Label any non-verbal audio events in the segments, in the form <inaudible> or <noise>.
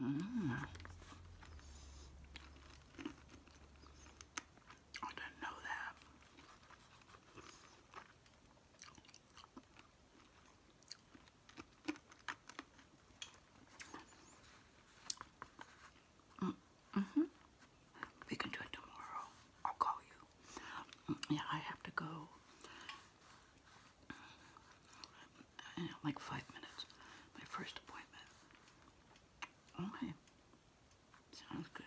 Mm. I didn't know that. Mm -hmm. We can do it tomorrow. I'll call you. Mm, yeah, I have to go like five minutes. My first appointment. Okay. Sounds good.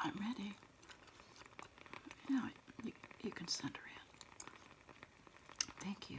I'm ready. Now you can send her in. Thank you.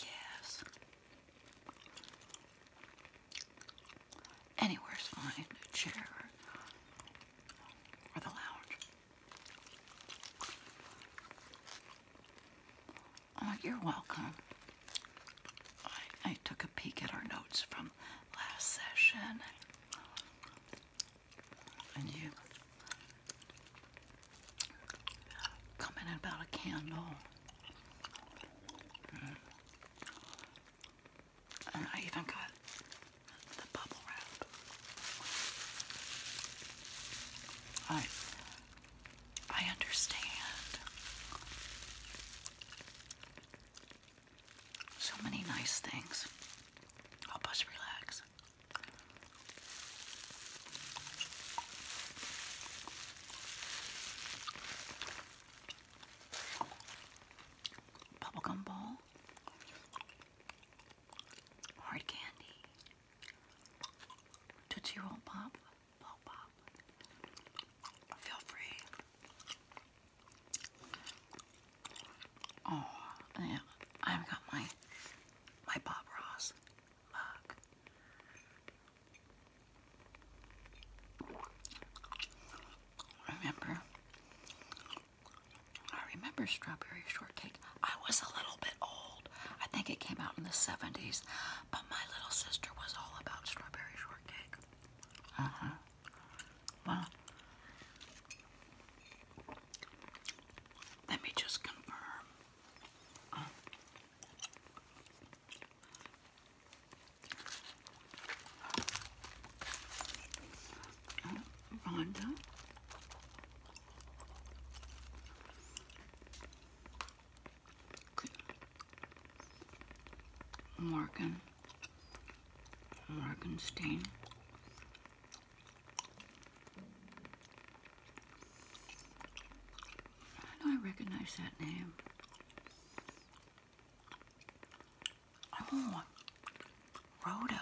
Yes. Anywhere's fine. A chair or the lounge. Oh, you're welcome. I took a peek at our notes from last session and you comment about a candle. Mm. And I even got the bubble wrap. I I understand so many nice things help us relax. Bubblegum ball, hard candy, Tootsie Pop, Pop Pop. Feel free Oh, yeah. I've got my my Bob Ross Remember? I remember strawberry shortcake. I was a little bit old. I think it came out in the 70s, but my little sister was all about strawberry shortcake. Uh-huh. Well, let me just confirm. Uh, uh, Rhonda. Morgan, Morgenstein, I recognize that name. Oh, Rhoda.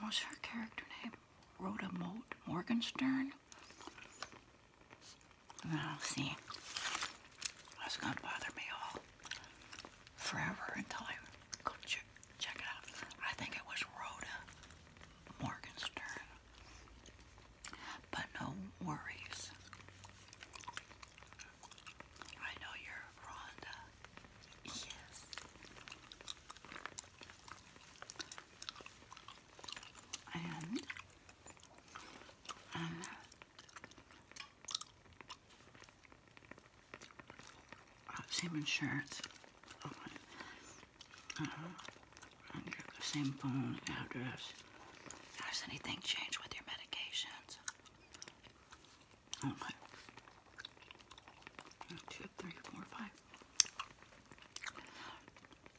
What was her character name? Rhoda Moat Morgenstern? Well, see, that's gonna bother me all forever until I go check, it out. I think it was Rhoda Morgenstern. But no worries. I know you're Rhonda. Yes. Um, uh, same insurance. Oh, uh-huh. same phone address. Has anything changed with your medications? Okay. Oh,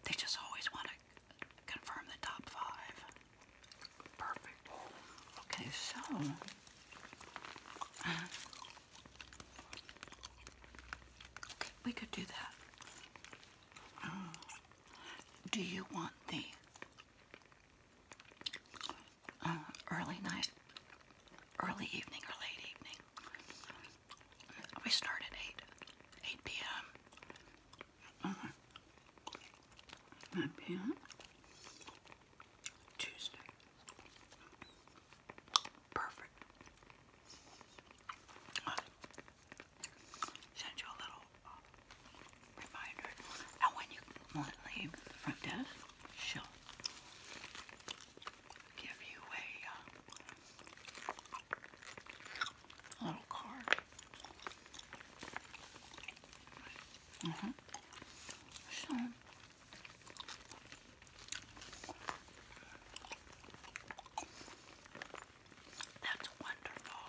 they just always want to confirm the top five. Perfect. Okay, so we could do that. Uh, do you want the uh, early night, early evening, or late evening? We start at 8, 8 p.m. Uh uh-huh. p.m. Tuesday. Perfect. i you a little um, reminder. And when you leave the front she'll give you a uh, little card. Mm-hmm. that's wonderful.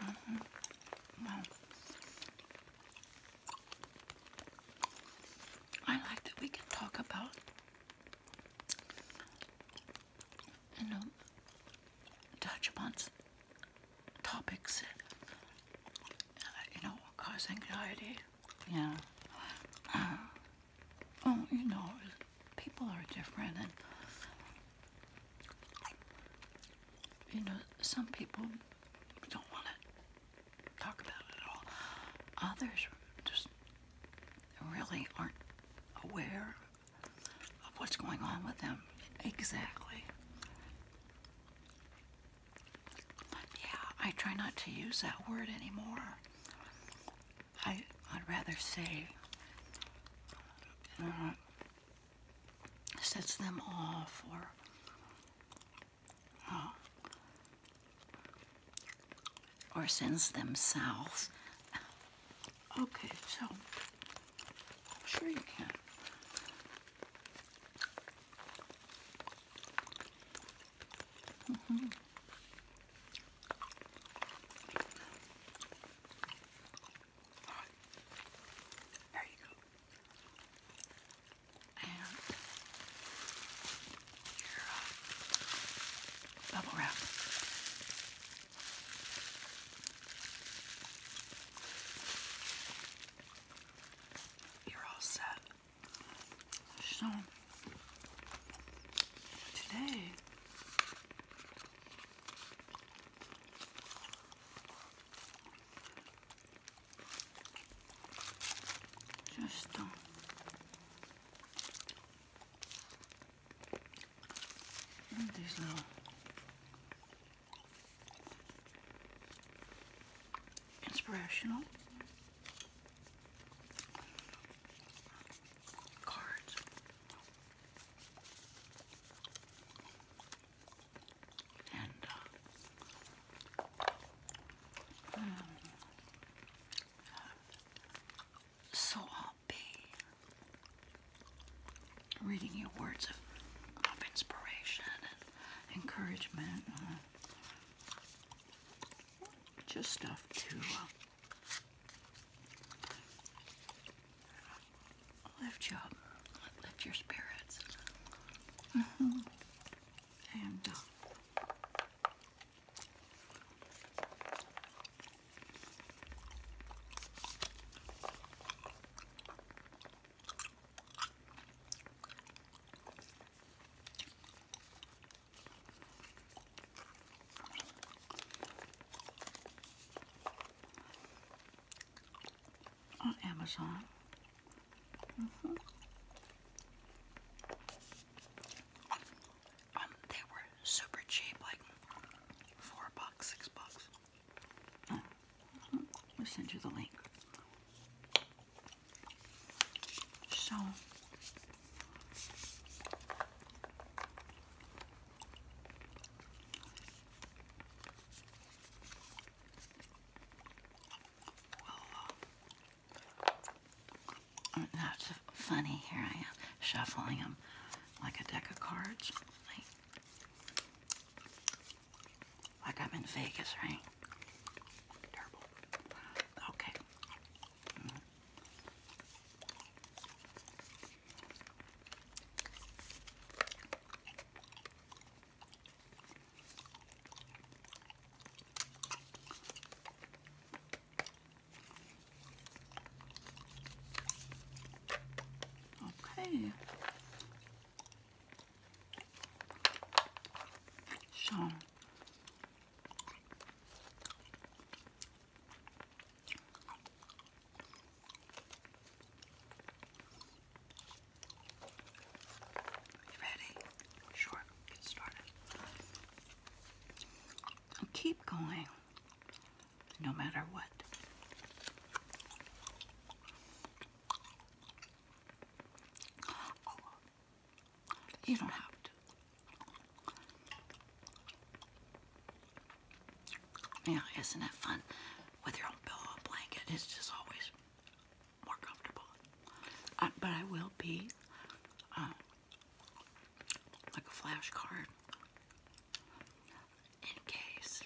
Mm-hmm. I like that we can talk about you know touch upon topics that, uh, you know, cause anxiety. Yeah. Uh, oh, you know, people are different, you know, some people don't want to talk about it at all. Others just really aren't aware of what's going on with them exactly. Yeah, I try not to use that word anymore. I, would rather say uh, sets them off or uh, or sends them south. Okay, so I'm sure you can. Mm -hmm. All right. There you go. And your uh, bubble wrap you're all set. So today just um, these little Inspirational cards. And uh, um, so I'll be reading you words of, of inspiration encouragement, uh, just stuff to uh, lift you lift your spirits. Mm-hmm. And uh, on Amazon. Mm-hmm. Um, they were super cheap, like four bucks, six bucks. Mm. I'll send you the link. So, uh, that's funny. Here I am shuffling them like a deck of cards. Like I'm in Vegas, right? Terrible. Okay. Mm-hmm. Okay. Sean, you ready? Sure, get started. keep going no matter what you don't have to. Yeah, isn't that fun with your own pillow blanket? It's just always more comfortable. Uh, but I will be um, like a flashcard in case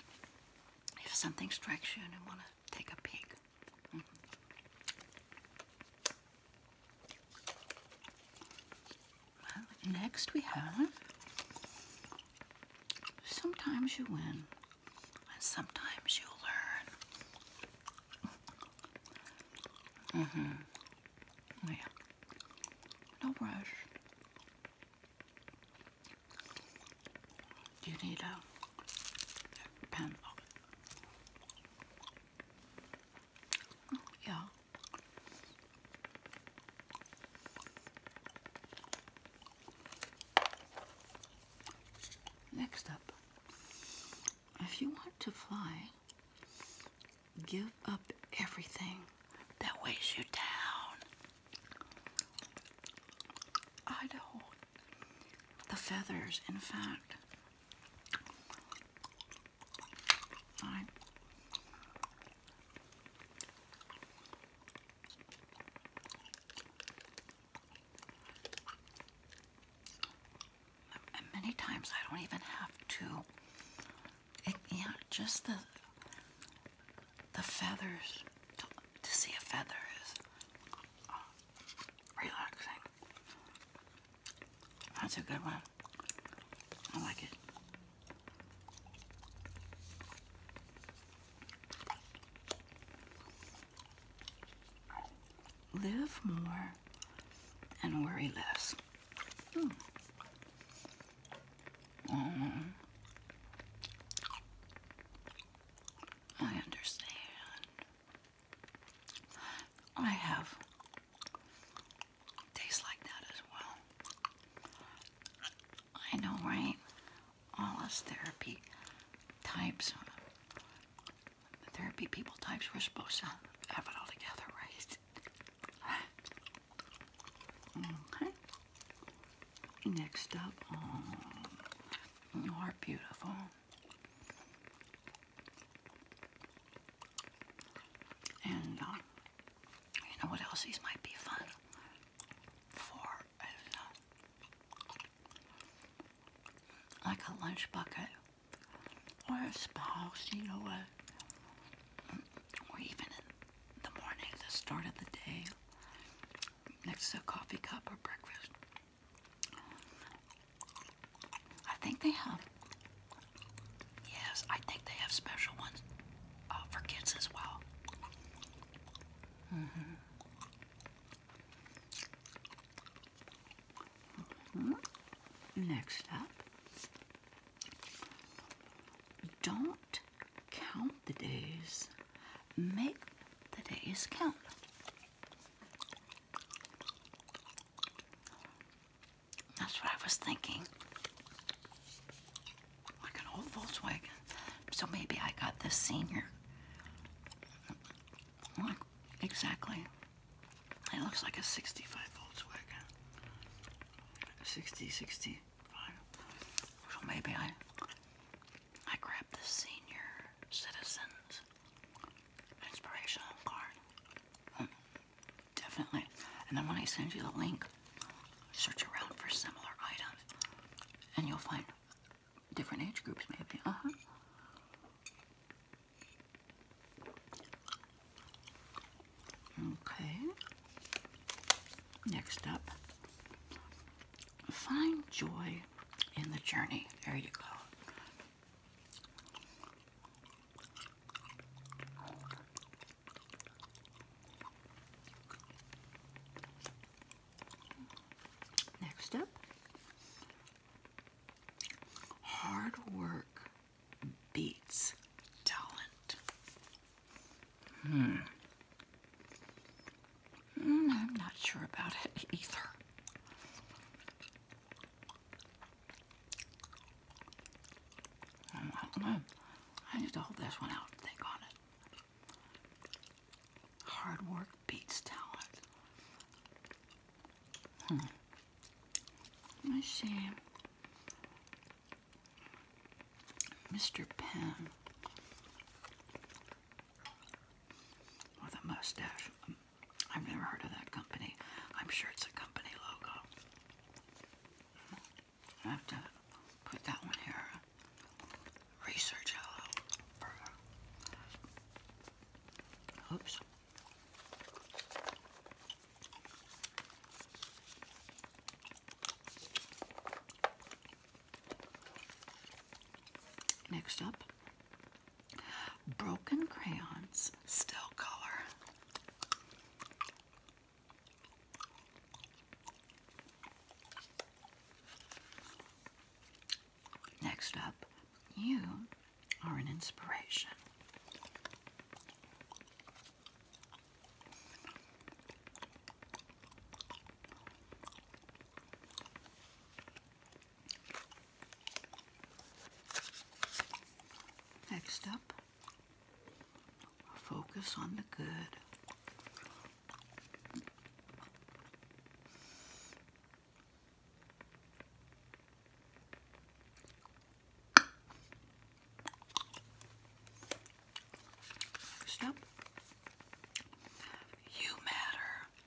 if something strikes you and want to take a peek. Well, next we have sometimes you win and sometimes you learn. Mm hmm Yeah. No rush. Do you need a, a yeah. Next up, if you want to fly, give up everything that weighs you down. I the feathers, in fact. I many times I don't even have to. yeah, just the the feathers to, see a relaxing. That's a good one. I like it. Live more and worry less. Hmm. Um, I understand. I have tastes like that as well. I know, right? All us therapy types, uh, the therapy people types, we're supposed to have it all together, right? Okay. Next up, um, you are beautiful. And um, you know what else? These might be fun for like a lunch bucket or a spouse, you know what? Or even in the morning, the start of the day, next to a coffee cup or breakfast. I think they have. Yes, I think they have special ones uh, for kids as well. Mm-hmm. Next up, don't count the days, make the days count. That's what I was thinking. Like an old Volkswagen. So maybe I got this senior. exactly. It looks like a 65 Volkswagen. 60, 65. So maybe I I grabbed the senior citizens inspirational card. Mm, definitely. And then when I send you the link, search around for similar items and you'll find different age groups maybe. Uh-huh. Okay. Next up, find joy in the journey. There you go. Next up, hard work beats talent. Hmm. hmm I'm not sure about it <laughs> either. I'm, I'm gonna, I need to hold this one out think on it. Hard work beats talent. My shame, Mr. Pen, with a mustache. I've never heard of that company. I'm sure it's a company logo. I have to put that one here. Research hello Oops. Next up Broken crayons, still color. Next up, you are an inspiration. Next up, focus on the good. Next you matter.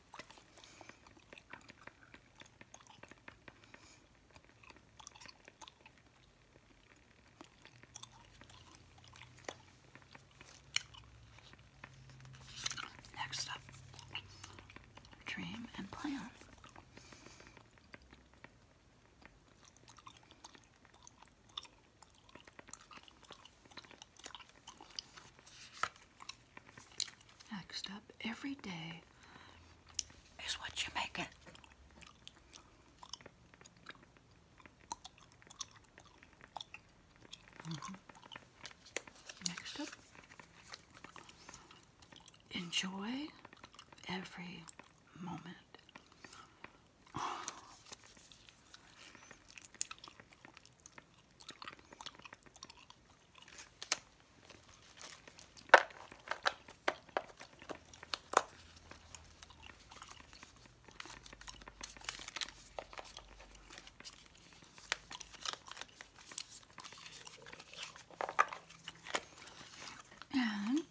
Next up, dream and plan. Next up, every day is what you make it. Mm-hmm. Next up, enjoy every moment. And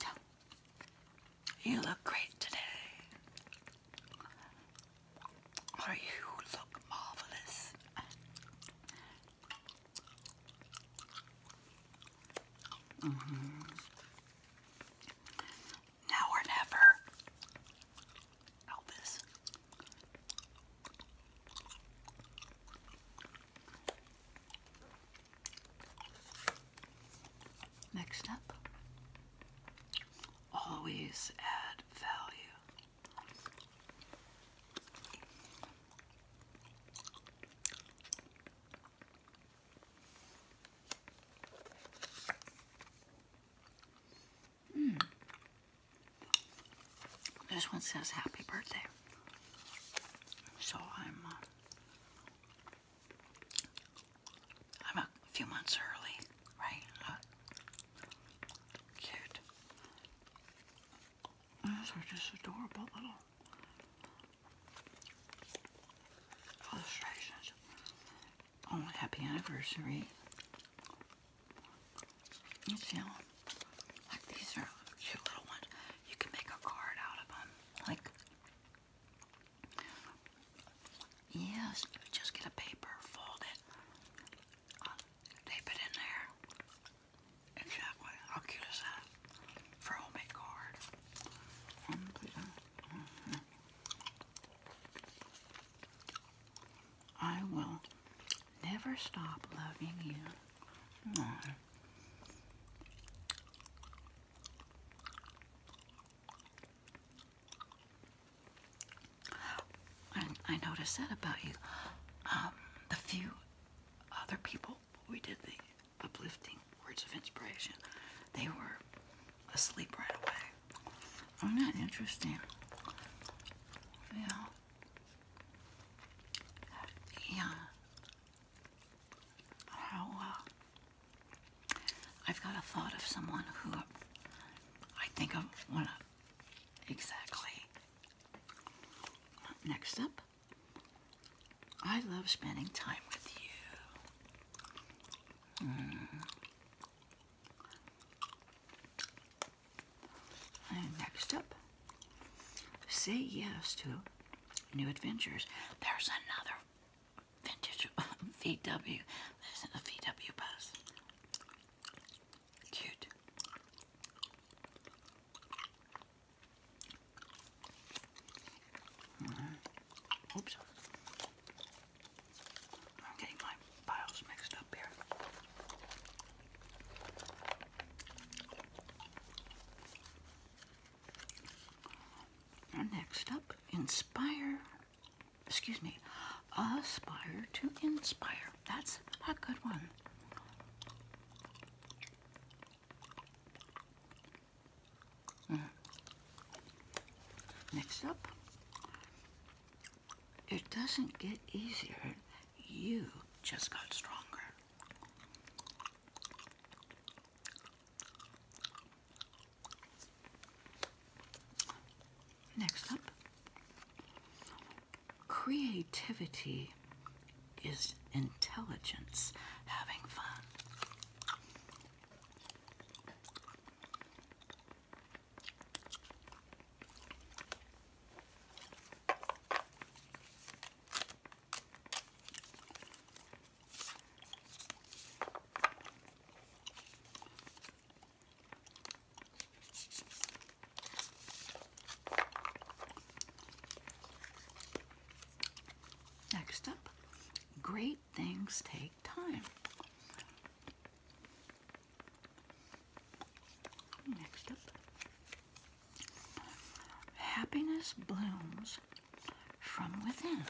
you look great today. Or you look marvelous. Mm-hmm. Now or never. Elvis. Next up, always add value. Mm. This one says happy birthday. So I'm uh, I'm a few months early, right? Uh, cute. Those are just adorable little illustrations. Oh, happy anniversary. You see them? Like these are cute little ones. You can make a card out of them. Like, yes, just get a paper, fold it, uh, tape it in there, Exactly. How cute is that? For a homemade card. I will never stop loving you. I, mm. I noticed that about you. Um, the few other people. We did the uplifting words of inspiration. They were asleep right away. Oh, isn't interesting? Yeah. Yeah. How, uh, I've got a thought of someone who I think of. want to exactly Next up, I love spending time with you. Hmm. And next up, say yes to new adventures. There's another vintage <laughs> VW. This is a VW bus. Mm-hmm. next up, inspire, excuse me, aspire to inspire. That's a good one. Mm. Next up, it doesn't get easier, you just got stronger. Next up, creativity is intelligence having fun. Next up, great things take time. Next up, happiness blooms from within.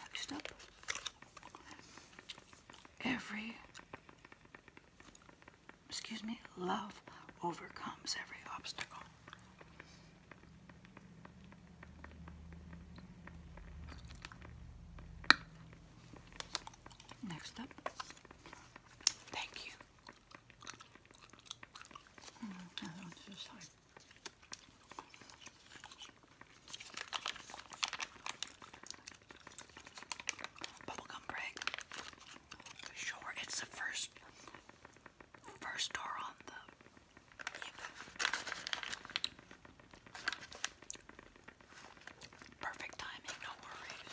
Next up, every, excuse me, love overcomes every obstacle. Next up, thank you. Hmm, Bubblegum break. Sure, it's the first first store on the perfect timing, no worries.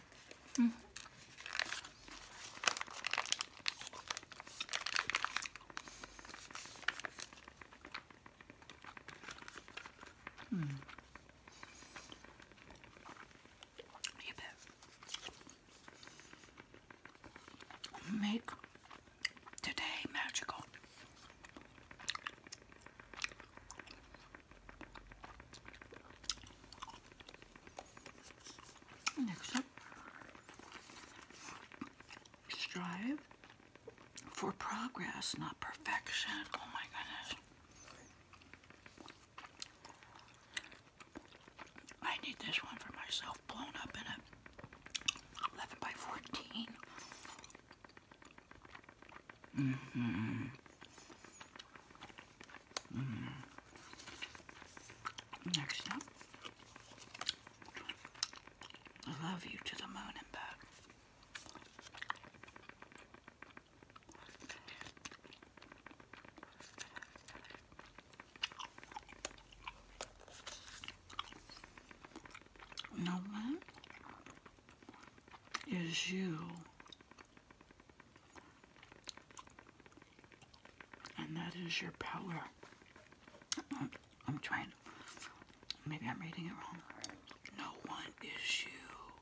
Mm -hmm. You bet. Make today magical. Next up, strive for progress, not perfection. Oh my goodness. I need this one for myself, blown up in a 11 by 14. Mm-hmm. Mm-hmm. Next up, I love you to the moon and back. No one is you and that is your power. Um, I'm, trying Maybe I'm reading it wrong. No one is you.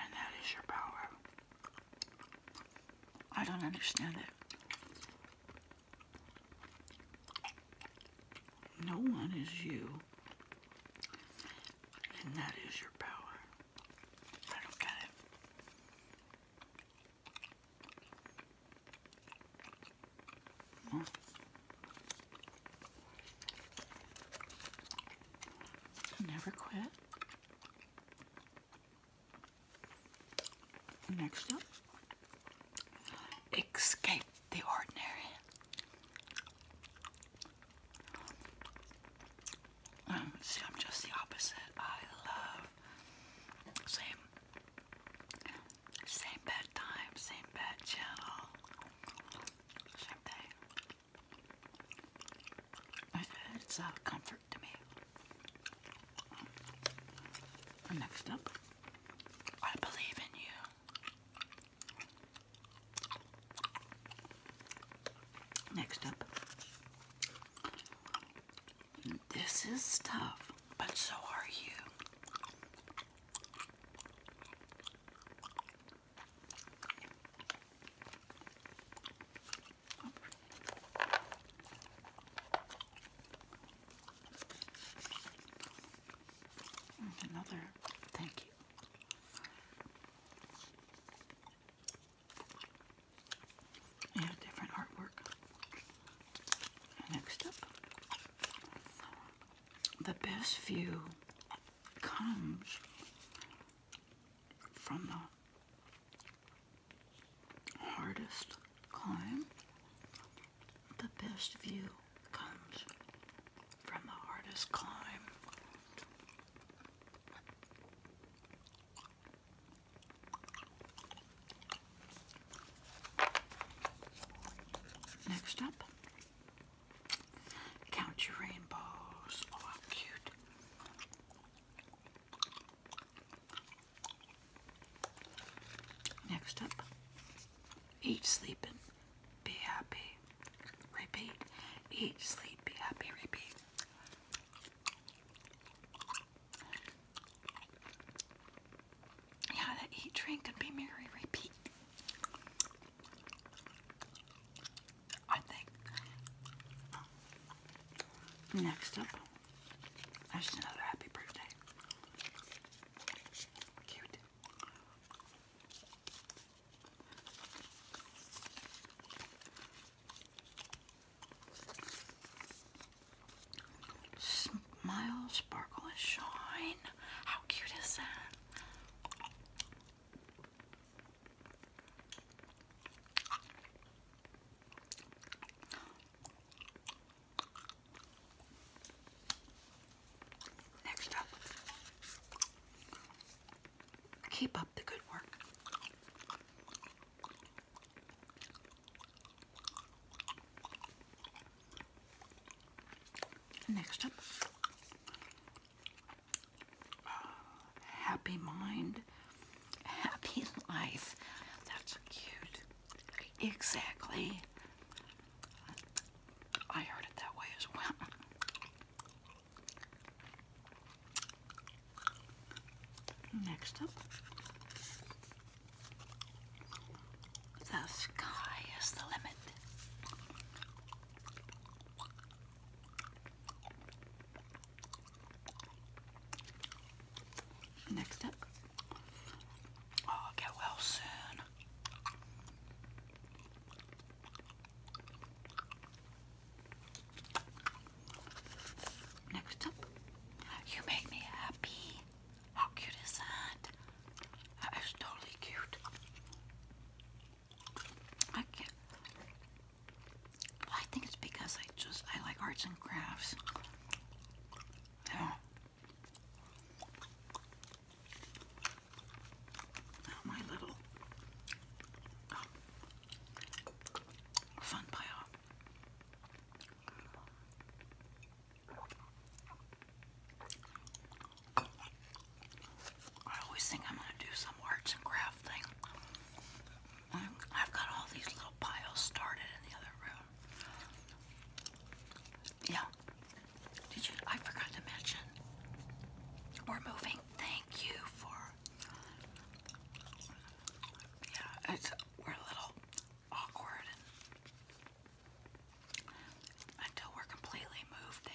And that is your power. I don't understand it. No one is you. And that is your power. I don't get it. Hmm. Never quit. Next up, escape the ordinary. Um, see, I'm just the opposite. I love same, same bad same bad channel, same thing. It's a comfort to me. next up, I believe in you. Next up, this is tough, but so are you. Another, thank you different artwork. Next up, the best view comes from the hardest climb. The best view comes from the hardest climb. Next up, count your rainbows. Oh, cute. Next up, eat, sleeping, be happy, repeat. Eat, sleep, be happy, repeat. Yeah, that eat, drink, and be merry, repeat. I think. Next up, there's another happy birthday. Cute. Smile, sparkle, and shine. How cute is that? Next up, keep up the good work. Next up, happy mind, happy life. That's cute. Exactly. I heard it that way as well. Next up, the sky is the limit. Next up, oh, get well soon. Next up, you make me happy. How cute is that? That is totally cute. I can't. I think it's because I just I like arts and crafts. Yeah. my little um, fun pile. I always think I'm going to do some arts and craft thing. I've got all these little piles started in the other room. Yeah. Did you? I forgot to mention. We're moving. Thank you for. Yeah, we're a little awkward until we're completely moved,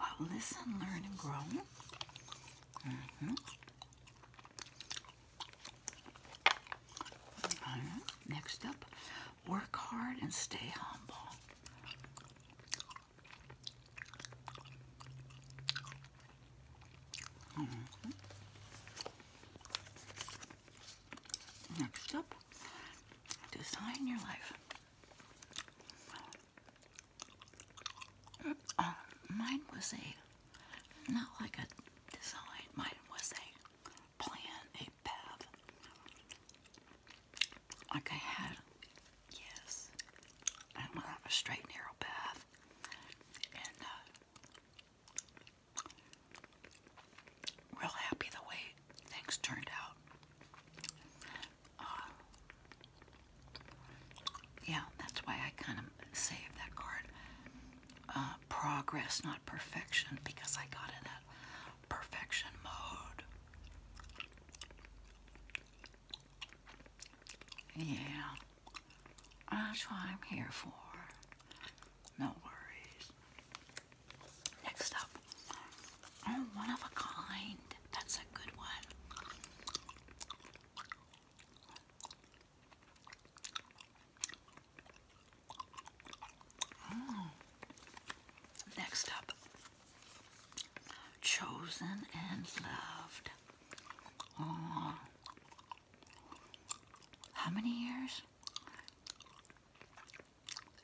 uh, listen, learn, and grow. Mm-hmm. Next up, work hard and stay humble. Mm-hmm. Next up, design your life. Uh, mine was a, not like a design, mine was a plan, a path. Like I had, yes, I went off a straight, narrow path. Uh, real happy the way things turned out. Uh, yeah, that's why I kind of saved that card. Uh, progress, not perfection, because I got in that perfection mode. Yeah. That's what I'm here for. No worries. Next up. Oh, one of a kind. That's a good one. Hmm. Next up. Chosen and loved. Oh, how many years?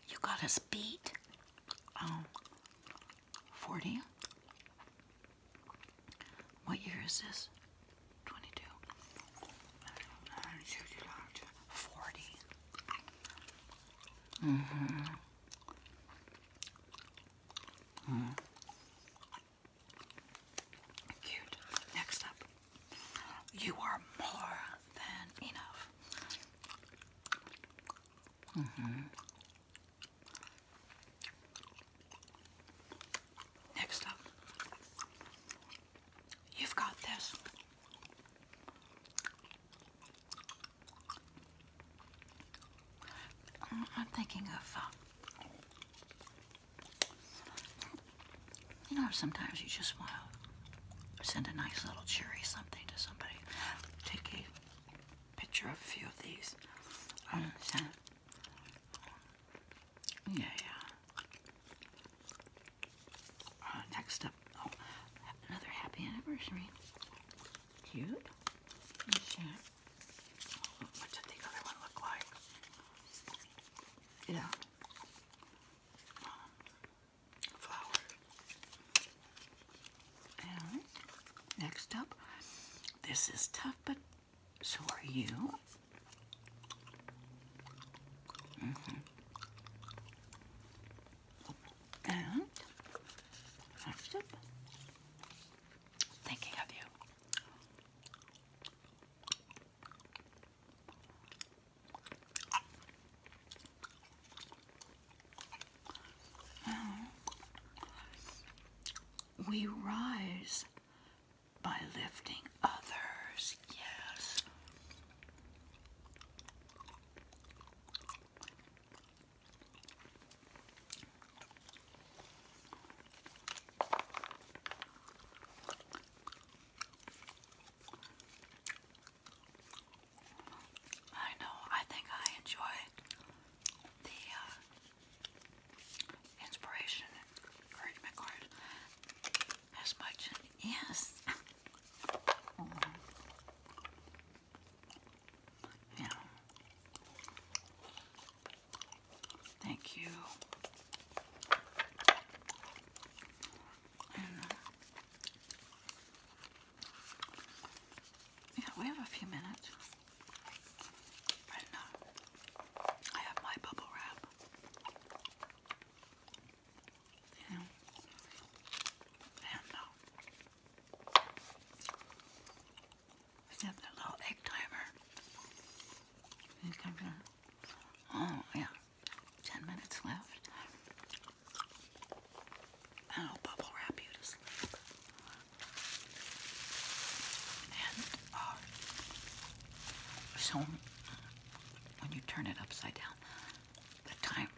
You got us beat. 40? What year is this? 22. 40. Mm-hmm. mm hmm Cute. Next up, you are more than enough. Mm hmm Next up, you've got this. Mm, I'm thinking of uh, you know, sometimes you just want to send a nice little cherry something to somebody. Take a picture of a few of these and um, send it. Yeah, yeah. Uh, next up, oh, another happy anniversary. Cute. Yeah. Yeah. flower. And next up, this is tough, but so are you. Mm-hmm. And thinking of you. We rise by lifting others, yes. I know, I think I enjoy the uh, inspiration encouragement as much. Yes. <laughs> Yeah. Thank you. Uh, yeah, we have a few minutes. And uh, I have my bubble wrap. You know, and uh, is that the little egg timer? Oh, yeah. Ten minutes left. I'll bubble wrap you to sleep. And, uh, so when you turn it upside down, the time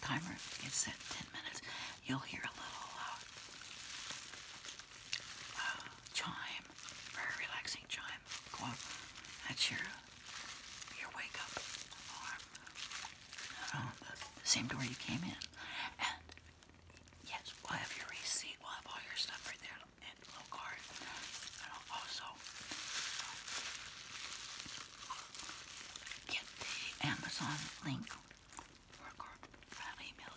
timer is set 10 minutes. You'll hear a little uh, uh, chime very relaxing chime. Go on. That's your your wake up uh, same door you came in. And yes, we'll have your receipt. We'll have all your stuff right there and a card. And also uh, get the Amazon link or card that email